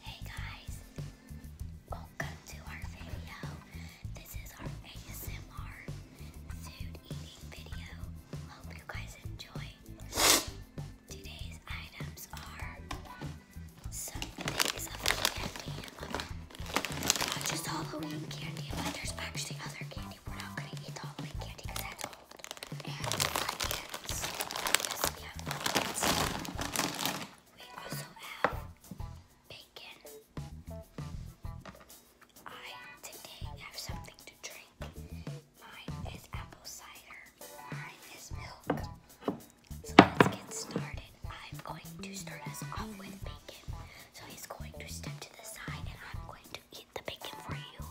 Hey guys, welcome to our video. This is our ASMR food eating video. Hope you guys enjoy. Today's items are some things of candy and just Halloween candy, but there's actually other candy. We're not gonna eat the Halloween candy because that's old. Yes, we have bacon. I today have something to drink. Mine is apple cider. Mine is milk. So let's get started. I'm going to start us off with bacon. So he's going to step to the side and I'm going to eat the bacon for you.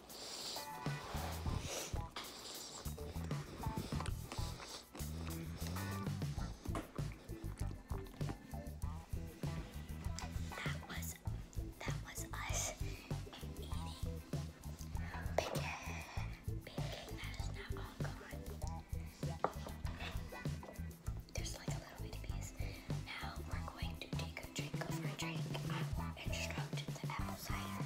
That was that was us bacon. Bacon that is now all gone. There's like a little bitty piece. Now we're going to take a drink of our drink. I will instruct the apple cider.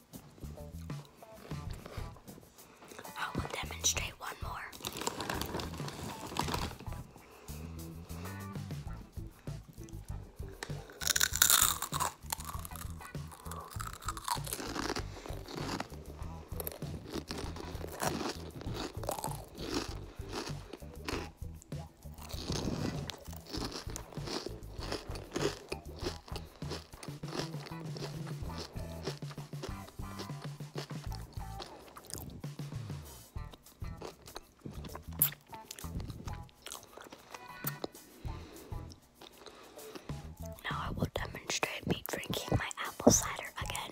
I will demonstrate one more. Now I will demonstrate me drinking my apple cider again.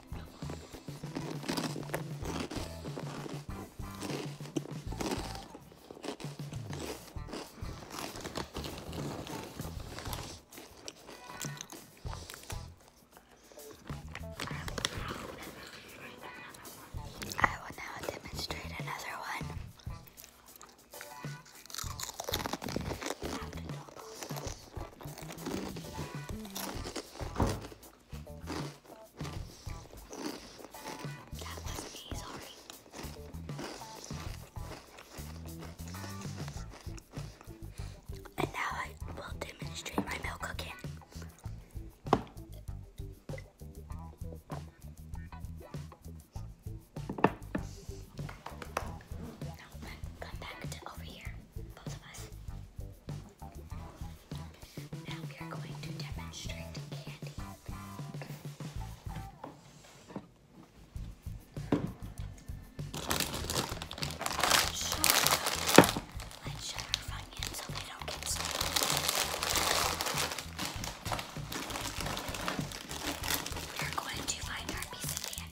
I will now demonstrate another one. That was me, sorry. And now I will demonstrate my milk cooking. come back to over here. Now we are going to demonstrate candy. let's shut our phone so they don't get stuck. We're going to find our piece of candy.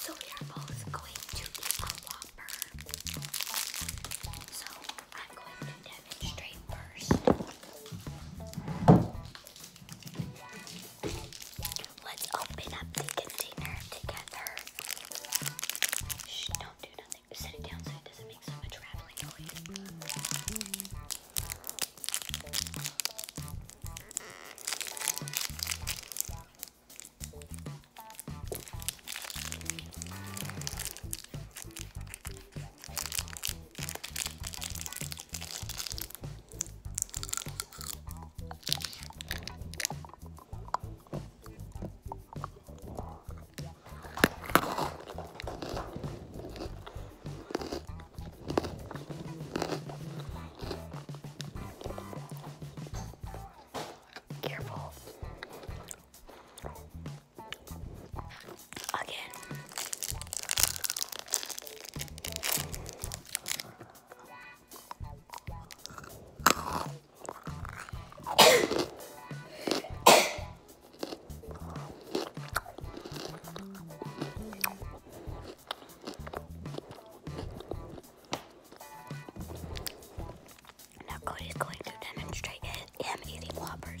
So we are both going to eat a Whopper. So I'm going to demonstrate first. Let's open up the container together. Shh, don't do nothing. Set it down so it doesn't make so much rattling noise. Careful. Again. Now Cody's going to demonstrate him eating Whoppers.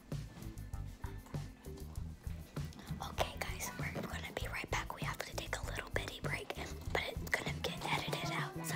Okay, guys, we're gonna be right back. We have to take a little bitty break, but it's gonna get edited out, so.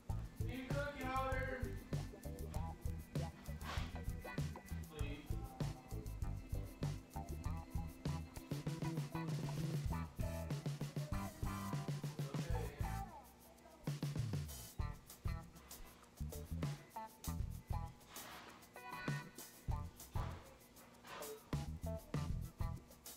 Keep cooking, Otter. Please.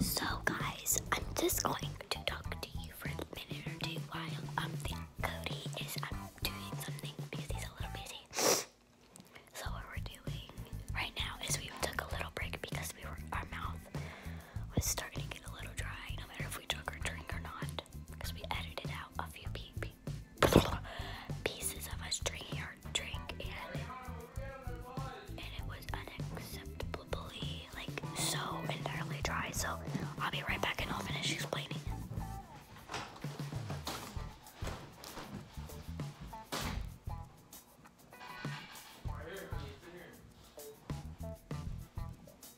So, guys, I'm just going to talk to you for a minute or two while I um, Cody is um, doing something because he's a little busy. So what we're doing right now is we took a little break because we were our mouth was starting to get a little dry. No matter if we took her drink or not, because we edited out a few pieces of us drinking our drink, and it was unacceptably like so entirely dry. So I'll be right back and I'll finish explaining.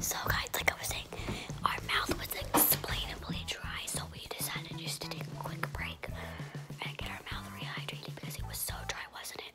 So guys, like I was saying, our mouth was explainably dry, so we decided just to take a quick break and get our mouth rehydrated because it was so dry, wasn't it?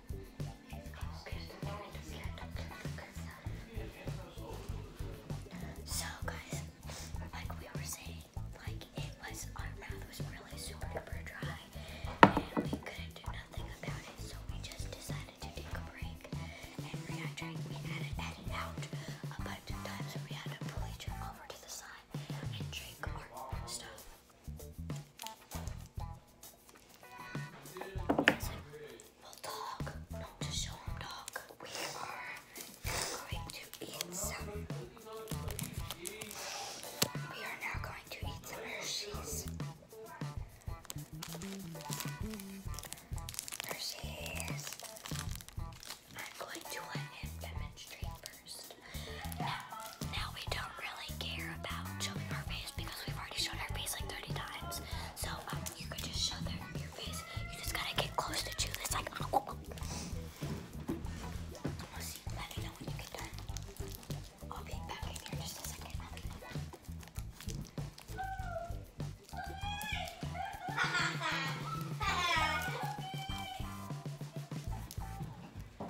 So guys, like we were saying, like it was our mouth was really super dry and we couldn't do nothing about it, so we just decided to take a break and we had tried we had it edit out a bunch of times and we had to pull each other over to the side and drink our stuff. It's like, dog, not to show him dog. We are going to eat some. We are now going to eat some Hershey's. Hershey's. I'm going to let him demonstrate first. Now, now we don't really care about showing our face because we've already shown our face like 30 times. So um, you could just show them your face. You just gotta get close to chew this. Like, oh, oh, oh. Let me know when you get done. I'll be back in here just a second.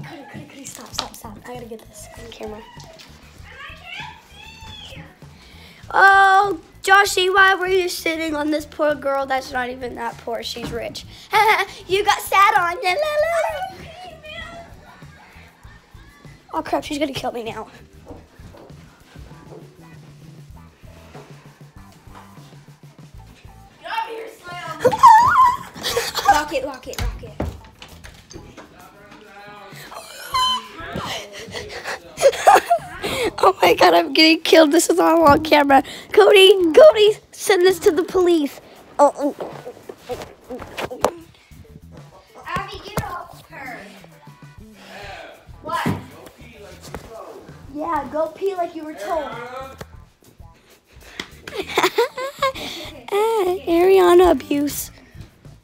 Cody, Cody, stop, stop, stop. I gotta get this on camera. Oh, Joshy, why were you sitting on this poor girl that's not even that poor? She's rich. you got sat on. La, Oh crap, she's gonna kill me now. Get over here, lock it, lock it, lock it. oh my god, I'm getting killed. This is all on camera. Cody, Cody, send this to the police. Oh. oh, oh, oh. Abby, you help her. What? Yeah, go pee like you were told. Ah, Ariana abuse.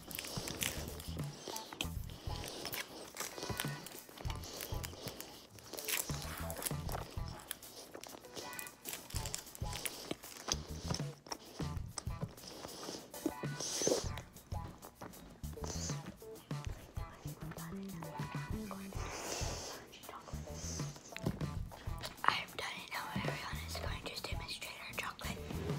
I'm done and now everyone going to demonstrate our chocolate.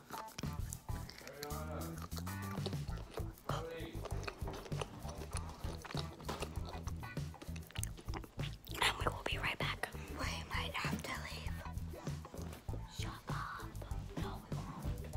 And we will be right back. We might have to leave. Shut up. No, we won't.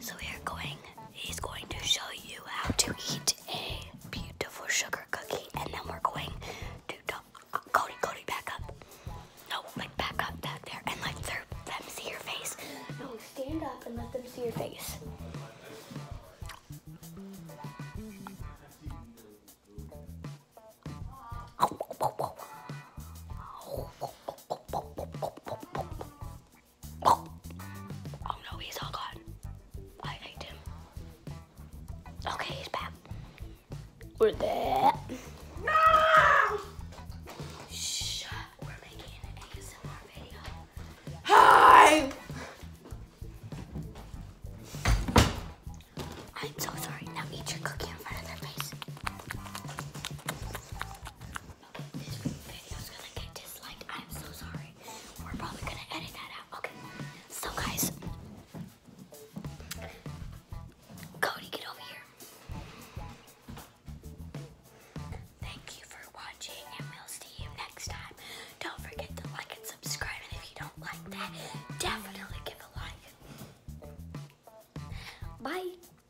So we are going, he's going to show you how to eat a beautiful sugar cookie, and then we're going to talk. Uh, Cody, Cody, back up. No, like back up, back there, and let their, see your face. No, stand up and let them see your face. Oh no, he's all gone. I hate him. Okay, he's back. We're there. No! Shh. We're making an ASMR video. Hi! I'm so sorry. Now eat your cookie in front of their face this video's gonna get disliked. I'm so sorry. We're probably gonna edit that out. Okay. So guys, Cody, get over here. Thank you for watching, and we'll see you next time. Don't forget to like and subscribe, and if you don't like that, definitely give a like. Bye.